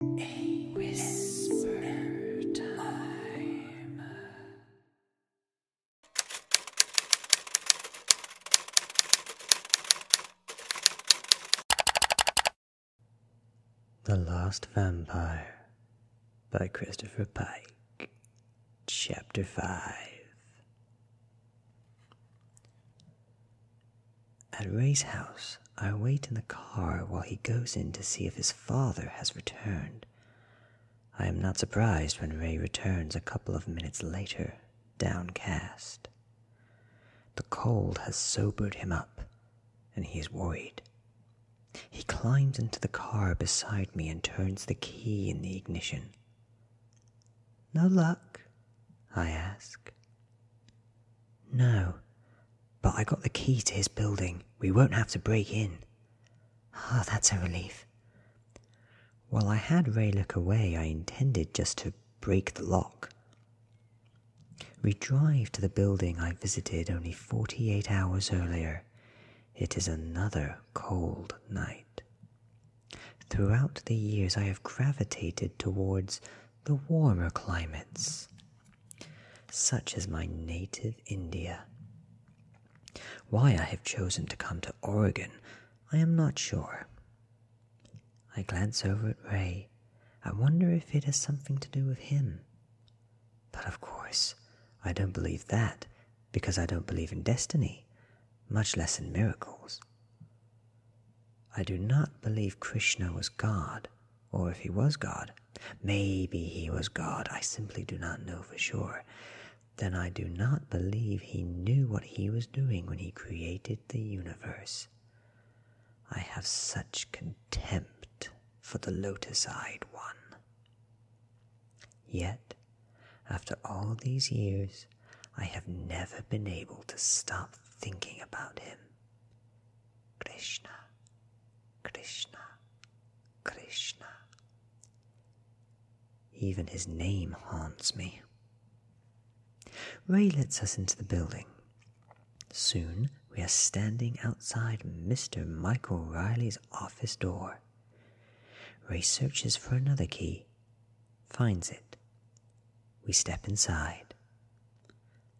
The Lost Vampire by Christopher Pike. Chapter 5 at Ray's house, I wait in the car while he goes in to see if his father has returned. I am not surprised when Ray returns a couple of minutes later, downcast. The cold has sobered him up, and he is worried. He climbs into the car beside me and turns the key in the ignition. No luck? I ask. No, but I got the key to his building. We won't have to break in. Ah, that's a relief. While I had Raylook away, I intended just to break the lock. We drive to the building I visited only 48 hours earlier. It is another cold night. Throughout the years, I have gravitated towards the warmer climates, such as my native India. Why I have chosen to come to Oregon, I am not sure. I glance over at Ray. I wonder if it has something to do with him. But of course, I don't believe that because I don't believe in destiny, much less in miracles. I do not believe Krishna was God, or if he was God, maybe he was God, I simply do not know for sure, then I do not believe he knew what he was doing when he created the universe. I have such contempt for the lotus eyed one. Yet, after all these years, I have never been able to stop thinking about him. Krishna, Krishna, Krishna. Even his name haunts me. Ray lets us into the building. Soon we are standing outside Mr. Michael Riley's office door. Ray searches for another key, finds it, we step inside.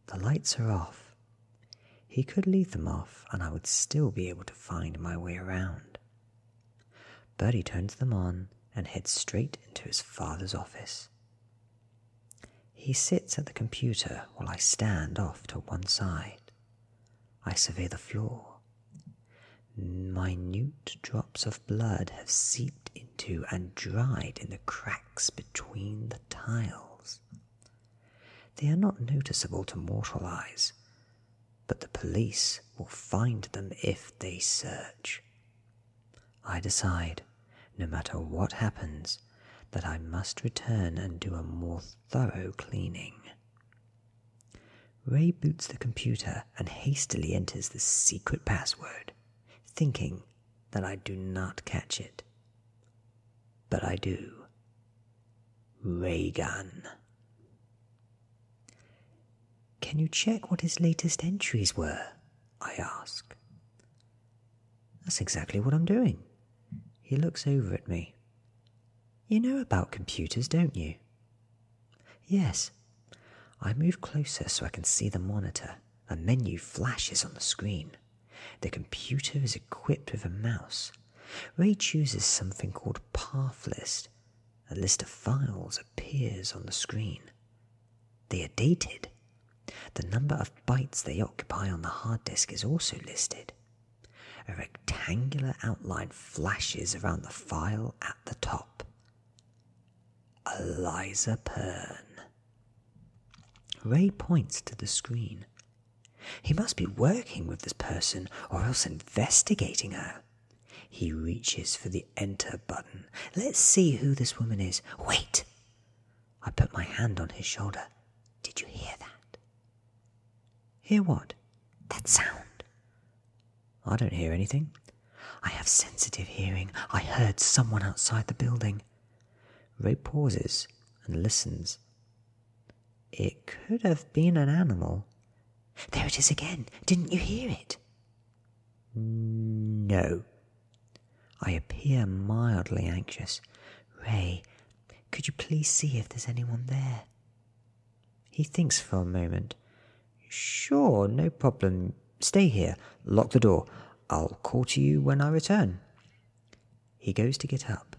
The lights are off. He could leave them off, and I would still be able to find my way around. Bertie turns them on and heads straight into his father's office. He sits at the computer while I stand off to one side. I survey the floor. Minute drops of blood have seeped into and dried in the cracks between the tiles. They are not noticeable to mortal eyes, but the police will find them if they search. I decide, no matter what happens, that I must return and do a more thorough cleaning. Ray boots the computer and hastily enters the secret password, thinking that I do not catch it. But I do. Ray Can you check what his latest entries were? I ask. That's exactly what I'm doing. He looks over at me. You know about computers, don't you? Yes. I move closer so I can see the monitor. A menu flashes on the screen. The computer is equipped with a mouse. Ray chooses something called Path List. A list of files appears on the screen. They are dated. The number of bytes they occupy on the hard disk is also listed. A rectangular outline flashes around the file at the top. Eliza Pern. Ray points to the screen. He must be working with this person or else investigating her. He reaches for the enter button. Let's see who this woman is. Wait! I put my hand on his shoulder. Did you hear that? Hear what? That sound. I don't hear anything. I have sensitive hearing. I heard someone outside the building. Ray pauses and listens. It could have been an animal. There it is again. Didn't you hear it? No. I appear mildly anxious. Ray, could you please see if there's anyone there? He thinks for a moment. Sure, no problem. Stay here, lock the door. I'll call to you when I return. He goes to get up,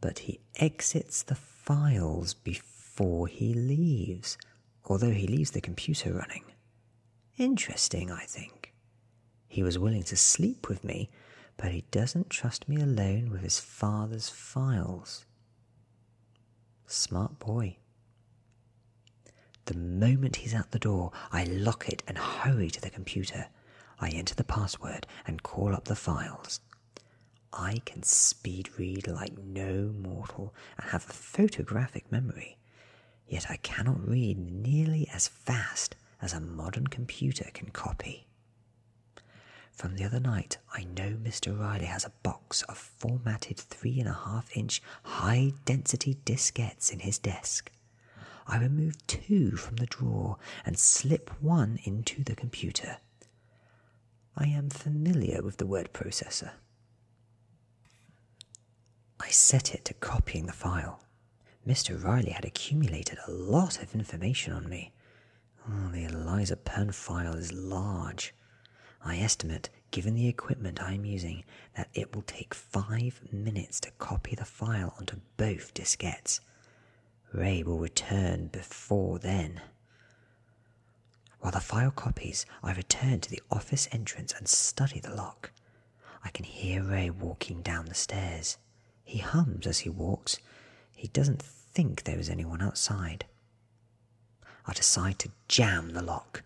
but he exits the files before he leaves, although he leaves the computer running. Interesting, I think. He was willing to sleep with me, but he doesn't trust me alone with his father's files. Smart boy. The moment he's at the door, I lock it and hurry to the computer. I enter the password and call up the files. I can speed read like no mortal and have a photographic memory, yet I cannot read nearly as fast as a modern computer can copy. From the other night, I know Mr. Riley has a box of formatted three and a half inch high density diskettes in his desk. I remove two from the drawer and slip one into the computer. I am familiar with the word processor. I set it to copying the file. Mr. Riley had accumulated a lot of information on me. Oh, the Eliza Penn file is large. I estimate given the equipment I am using, that it will take five minutes to copy the file onto both diskettes. Ray will return before then. While the file copies, I return to the office entrance and study the lock. I can hear Ray walking down the stairs. He hums as he walks. He doesn't think there is anyone outside. I decide to jam the lock.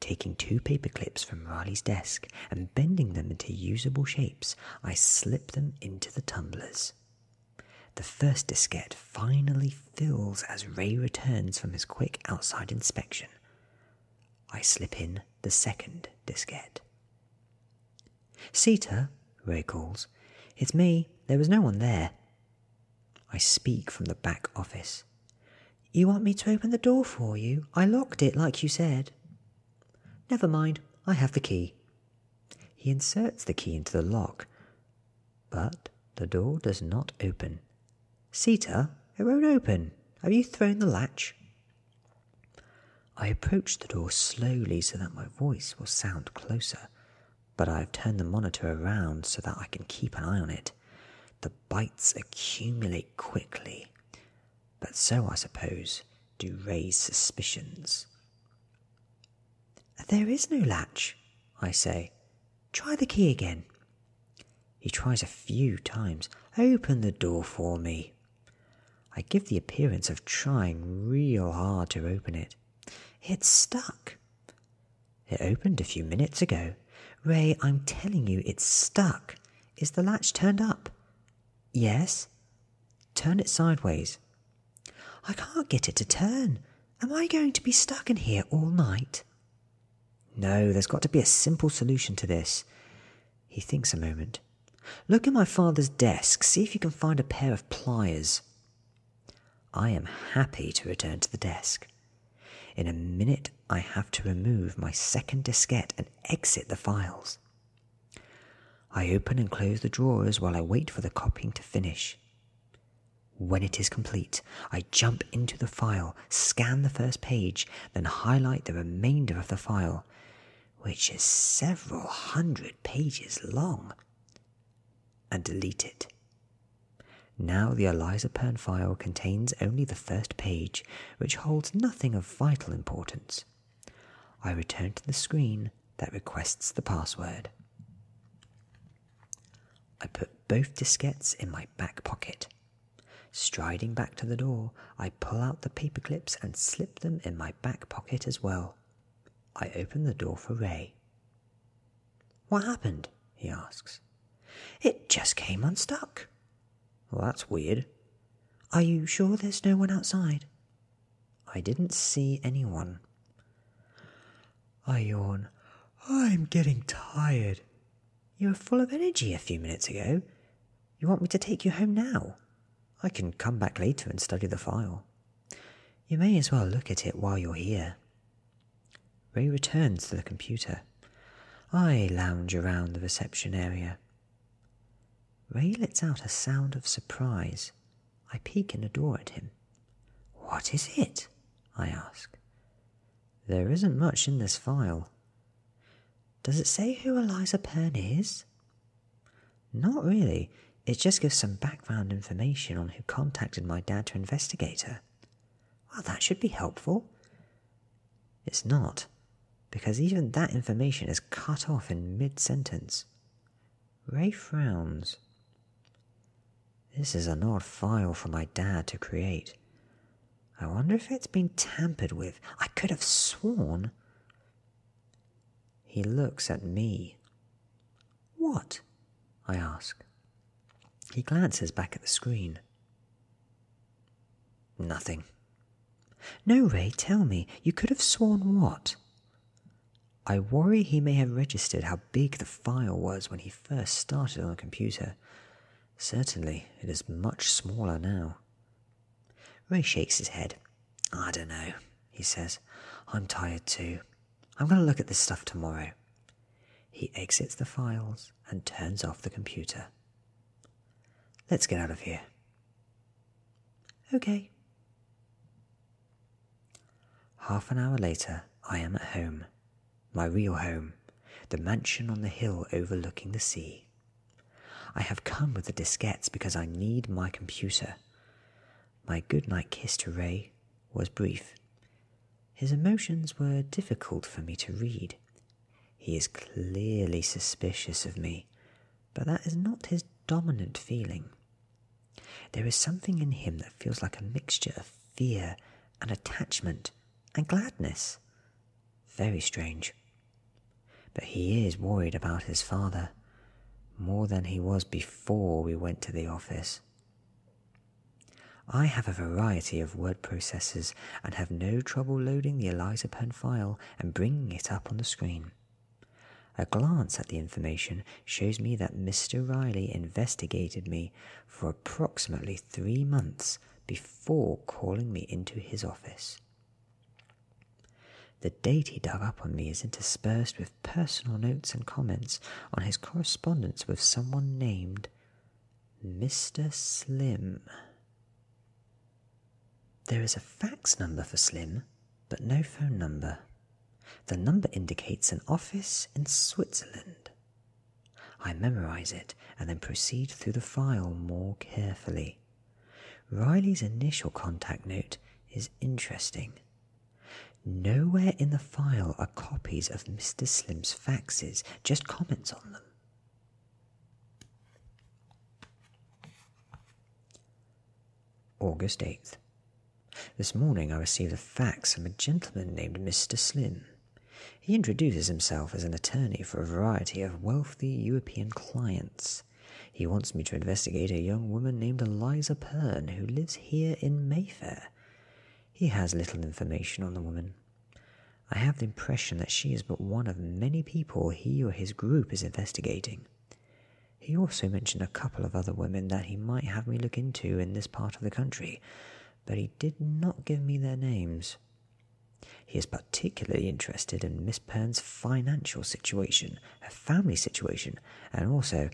Taking two paper clips from Riley's desk and bending them into usable shapes, I slip them into the tumblers. The first diskette finally fills as Ray returns from his quick outside inspection. I slip in the second diskette. Sita, Ray calls. It's me. There was no one there. I speak from the back office. You want me to open the door for you? I locked it, like you said. Never mind, I have the key. He inserts the key into the lock, but the door does not open. Sita, it won't open. Have you thrown the latch? I approach the door slowly so that my voice will sound closer, but I've turned the monitor around so that I can keep an eye on it. The bites accumulate quickly, but so, I suppose, do raise suspicions. There is no latch, I say. Try the key again. He tries a few times. Open the door for me. I give the appearance of trying real hard to open it. It's stuck. It opened a few minutes ago. Ray, I'm telling you, it's stuck. Is the latch turned up? Yes. Turn it sideways. I can't get it to turn. Am I going to be stuck in here all night? No, there's got to be a simple solution to this. He thinks a moment. Look in my father's desk, see if you can find a pair of pliers. I am happy to return to the desk. In a minute, I have to remove my second diskette and exit the files. I open and close the drawers while I wait for the copying to finish. When it is complete, I jump into the file, scan the first page, then highlight the remainder of the file, which is several hundred pages long, and delete it. Now the Elizapern file contains only the first page, which holds nothing of vital importance. I return to the screen that requests the password. I put both diskettes in my back pocket. Striding back to the door, I pull out the paper clips and slip them in my back pocket as well. I open the door for Ray. What happened? he asks. It just came unstuck. that's weird. Are you sure there's no one outside? I didn't see anyone. I yawn. I'm getting tired. You were full of energy a few minutes ago. You want me to take you home now? I can come back later and study the file. You may as well look at it while you're here. Ray returns to the computer. I lounge around the reception area. Ray lets out a sound of surprise. I peek in the door at him. What is it? I ask. There isn't much in this file. Does it say who Eliza Pern is? Not really. It just gives some background information on who contacted my dad to investigate her. Well, that should be helpful. It's not, because even that information is cut off in mid sentence. Ray frowns. This is an odd file for my dad to create. I wonder if it's been tampered with. I could have sworn. He looks at me. What? I ask. He glances back at the screen. Nothing. No, Ray, tell me, you could have sworn what? I worry he may have registered how big the file was when he first started on the computer. Certainly, it is much smaller now. Ray shakes his head. I don't know, he says. I'm tired too. I'm going to look at this stuff tomorrow. He exits the files and turns off the computer. Let's get out of here. Okay. Half an hour later, I am at home. My real home, the mansion on the hill overlooking the sea. I have come with the diskettes because I need my computer. My goodnight kiss to Ray was brief. His emotions were difficult for me to read. He is clearly suspicious of me, but that is not his dominant feeling. There is something in him that feels like a mixture of fear and attachment and gladness. Very strange. But he is worried about his father, more than he was before we went to the office. I have a variety of word processors and have no trouble loading the Eliza Pen file and bringing it up on the screen. A glance at the information shows me that Mr. Riley investigated me for approximately three months before calling me into his office. The date he dug up on me is interspersed with personal notes and comments on his correspondence with someone named Mr. Slim. There is a fax number for Slim, but no phone number. The number indicates an office in Switzerland. I memorize it and then proceed through the file more carefully. Riley's initial contact note is interesting. Nowhere in the file are copies of Mr. Slim's faxes just comments on them. August 8th. This morning I received a fax from a gentleman named Mr. Slim. He introduces himself as an attorney for a variety of wealthy European clients. He wants me to investigate a young woman named Eliza Pern who lives here in Mayfair. He has little information on the woman. I have the impression that she is but one of many people he or his group is investigating. He also mentioned a couple of other women that he might have me look into in this part of the country, but he did not give me their names. He is particularly interested in Miss Perne's financial situation, her family situation, and also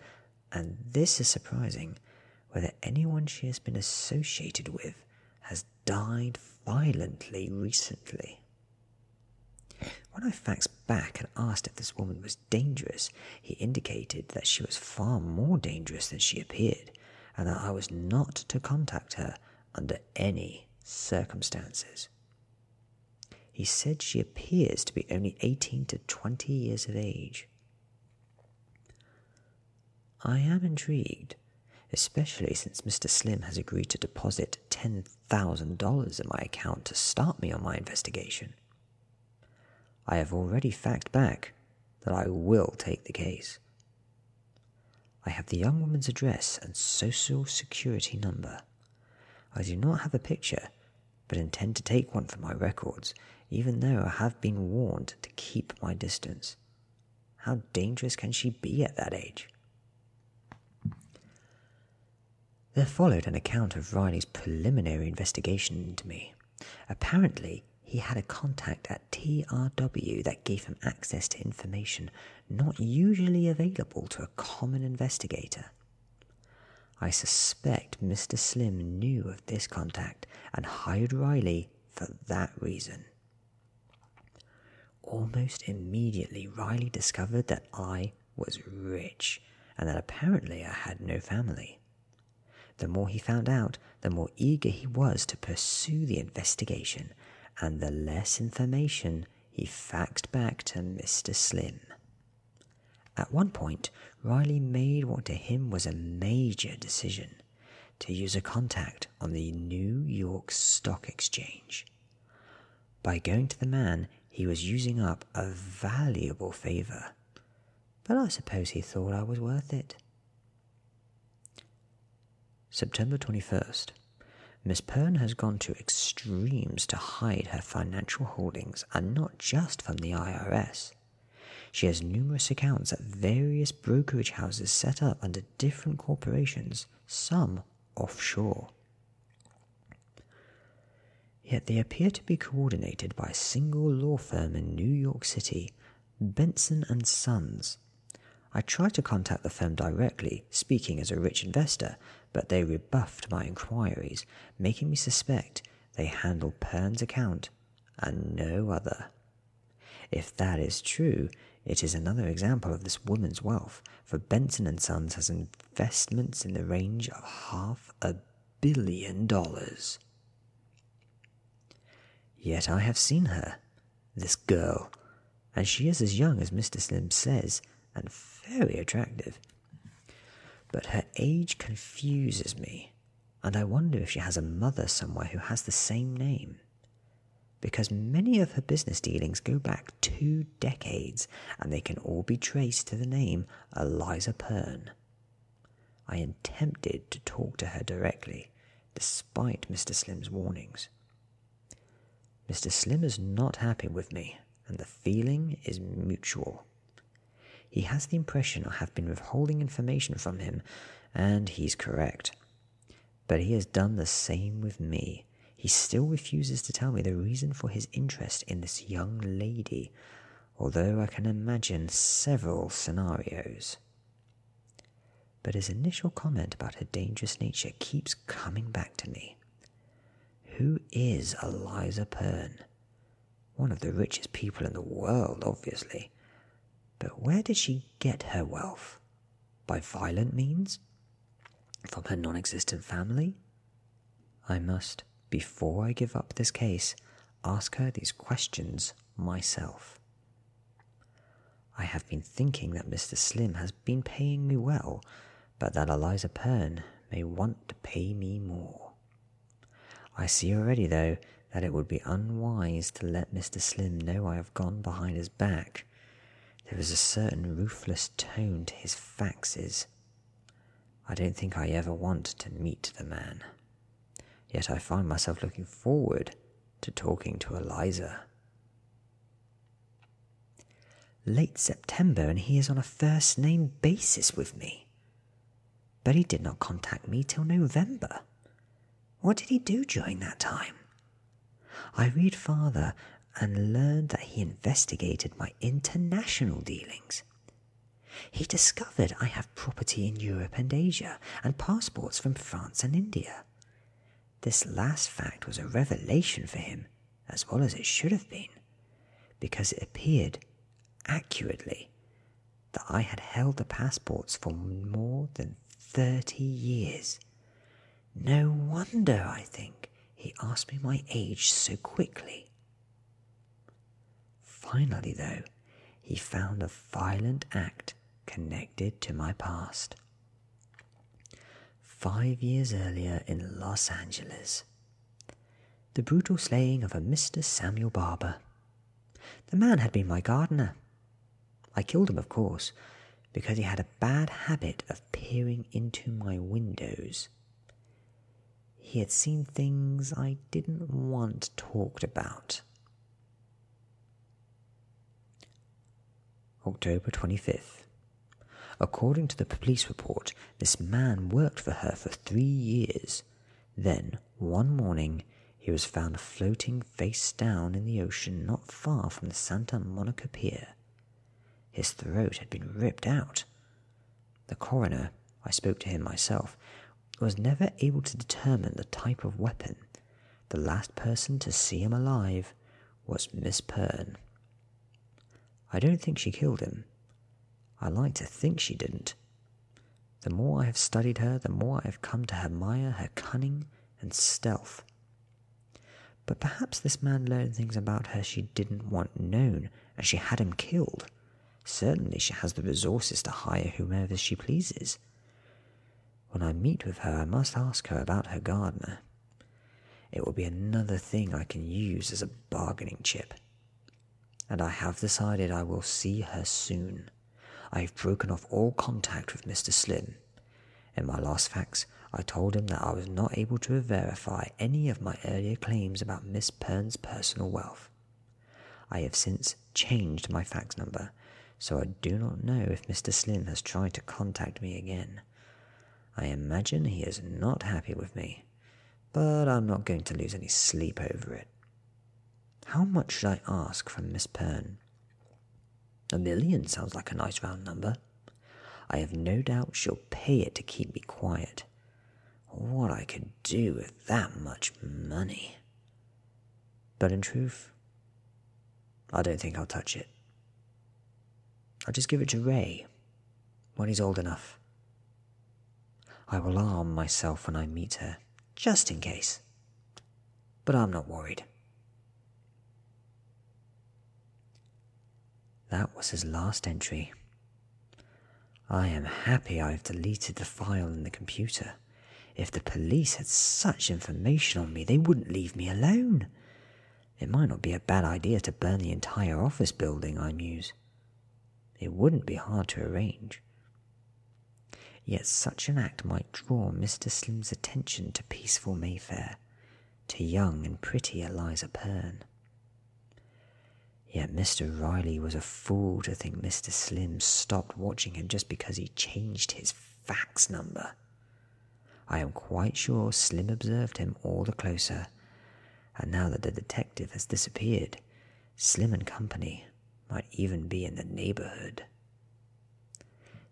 and this is surprising, whether anyone she has been associated with has died violently recently. When I faxed back and asked if this woman was dangerous, he indicated that she was far more dangerous than she appeared, and that I was not to contact her under any circumstances. He said she appears to be only 18 to 20 years of age. I am intrigued, especially since Mr. Slim has agreed to deposit $10,000 in my account to start me on my investigation. I have already fact back that I will take the case. I have the young woman's address and social security number. I do not have a picture, but intend to take one for my records even though I have been warned to keep my distance. How dangerous can she be at that age? There followed an account of Riley's preliminary investigation into me. Apparently, he had a contact at TRW that gave him access to information not usually available to a common investigator. I suspect Mr. Slim knew of this contact and hired Riley for that reason. Almost immediately, Riley discovered that I was rich and that apparently I had no family. The more he found out, the more eager he was to pursue the investigation, and the less information he faxed back to Mr. Slim. At one point, Riley made what to him was a major decision to use a contact on the New York Stock Exchange. By going to the man, he was using up a valuable favor, but I suppose he thought I was worth it. September 21st. Miss Pern has gone to extremes to hide her financial holdings, and not just from the IRS. She has numerous accounts at various brokerage houses set up under different corporations, some offshore. Yet they appear to be coordinated by a single law firm in New York City, Benson and Sons. I tried to contact the firm directly, speaking as a rich investor, but they rebuffed my inquiries, making me suspect they handle Pern's account and no other. If that is true, it is another example of this woman's wealth, for Benson and Sons has investments in the range of half a billion dollars. Yet I have seen her, this girl, and she is as young as Mr. Slim says, and very attractive. But her age confuses me and I wonder if she has a mother somewhere who has the same name. Because many of her business dealings go back two decades, and they can all be traced to the name Eliza Pern. I am tempted to talk to her directly, despite Mr. Slim's warnings. Mr. Slim is not happy with me, and the feeling is mutual. He has the impression I have been withholding information from him, and he's correct. But he has done the same with me. He still refuses to tell me the reason for his interest in this young lady, although I can imagine several scenarios. But his initial comment about her dangerous nature keeps coming back to me. Who is Eliza Pern? One of the richest people in the world, obviously. But where did she get her wealth? By violent means? From her non existent family? I must, before I give up this case, ask her these questions myself. I have been thinking that Mr. Slim has been paying me well, but that Eliza Perne may want to pay me more. I see already, though, that it would be unwise to let Mr. Slim know I have gone behind his back. There is a certain ruthless tone to his faxes. I don't think I ever want to meet the man. Yet I find myself looking forward to talking to Eliza. Late September, and he is on a first name basis with me. But he did not contact me till November. What did he do during that time? I read farther and learned that he investigated my international dealings. He discovered I have property in Europe and Asia and passports from France and India. This last fact was a revelation for him, as well as it should have been, because it appeared accurately that I had held the passports for more than thirty years. No wonder, I think, he asked me my age so quickly. Finally, though, he found a violent act connected to my past. Five years earlier in Los Angeles, the brutal slaying of a Mr. Samuel Barber, the man had been my gardener. I killed him, of course, because he had a bad habit of peering into my windows. He had seen things I didn't want talked about. October 25th. According to the police report, this man worked for her for three years then, one morning, he was found floating face down in the ocean not far from the Santa Monica pier. His throat had been ripped out. The coroner, I spoke to him myself, was never able to determine the type of weapon. The last person to see him alive was Miss Perne. I don't think she killed him. I like to think she didn't. The more I have studied her, the more I have come to admire her cunning and stealth. But perhaps this man learned things about her she didn't want known, and she had him killed. Certainly she has the resources to hire whomever she pleases. When I meet with her, I must ask her about her gardener. It will be another thing I can use as a bargaining chip and I have decided I will see her soon. I have broken off all contact with Mr. Slim. In my last fax, I told him that I was not able to verify any of my earlier claims about Miss Perne's personal wealth. I have since changed my fax number, so I do not know if Mr. Slim has tried to contact me again. I imagine he is not happy with me, but I'm not going to lose any sleep over it. How much should I ask from Miss Perne? A million sounds like a nice round number. I have no doubt she'll pay it to keep me quiet. What I could do with that much money. But in truth, I don't think I'll touch it. I'll just give it to Ray when he's old enough. I will arm myself when I meet her, just in case. But I'm not worried. That was his last entry. I am happy I have deleted the file in the computer. If the police had such information on me, they wouldn't leave me alone. It might not be a bad idea to burn the entire office building I muse. It wouldn't be hard to arrange. Yet such an act might draw Mr. Slim's attention to peaceful Mayfair, to young and pretty Eliza Perne. Yet Mr. Riley was a fool to think Mr. Slim stopped watching him just because he changed his fax number. I am quite sure Slim observed him all the closer, and now that the detective has disappeared, Slim and Company might even be in the neighborhood.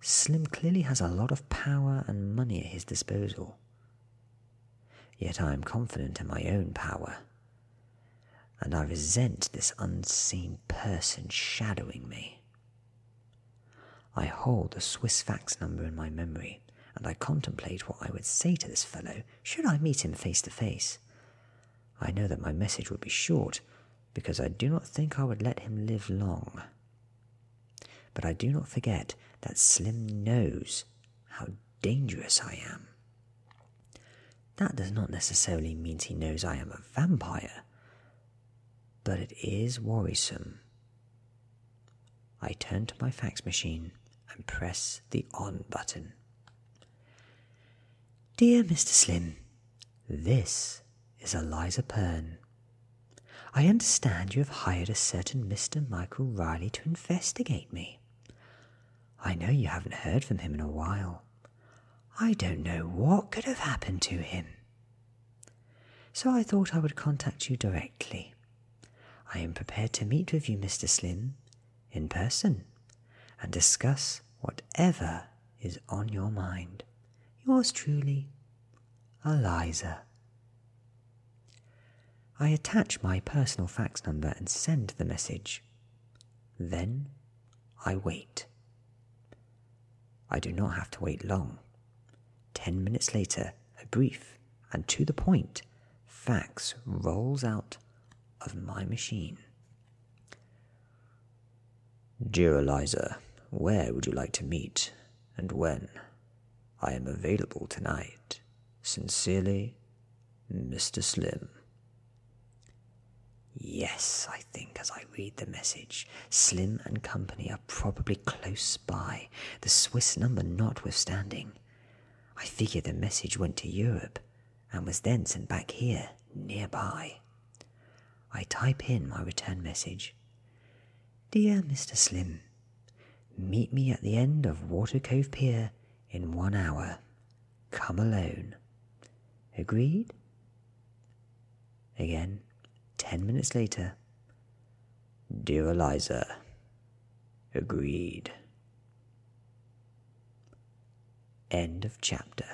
Slim clearly has a lot of power and money at his disposal. Yet I am confident in my own power, and I resent this unseen person shadowing me. I hold the Swiss fax number in my memory, and I contemplate what I would say to this fellow should I meet him face to face. I know that my message would be short, because I do not think I would let him live long. But I do not forget that Slim knows how dangerous I am. That does not necessarily mean he knows I am a vampire, but it is worrisome. I turn to my fax machine and press the on button. Dear Mr. Slim, this is Eliza Perne. I understand you have hired a certain Mr. Michael Riley to investigate me. I know you haven't heard from him in a while. I don't know what could have happened to him. So I thought I would contact you directly. I am prepared to meet with you, Mr. Slim, in person and discuss whatever is on your mind. Yours truly, Eliza. I attach my personal fax number and send the message. Then I wait. I do not have to wait long. Ten minutes later, a brief and to the point fax rolls out of my machine. Dear Eliza, where would you like to meet and when? I am available tonight. Sincerely, Mr. Slim. Yes, I think as I read the message, Slim and Company are probably close by, the Swiss number notwithstanding. I figure the message went to Europe, and was then sent back here, nearby. I type in my return message Dear Mr. Slim, meet me at the end of Water Cove Pier in one hour. Come alone. Agreed? Again, ten minutes later. Dear Eliza, agreed. End of chapter.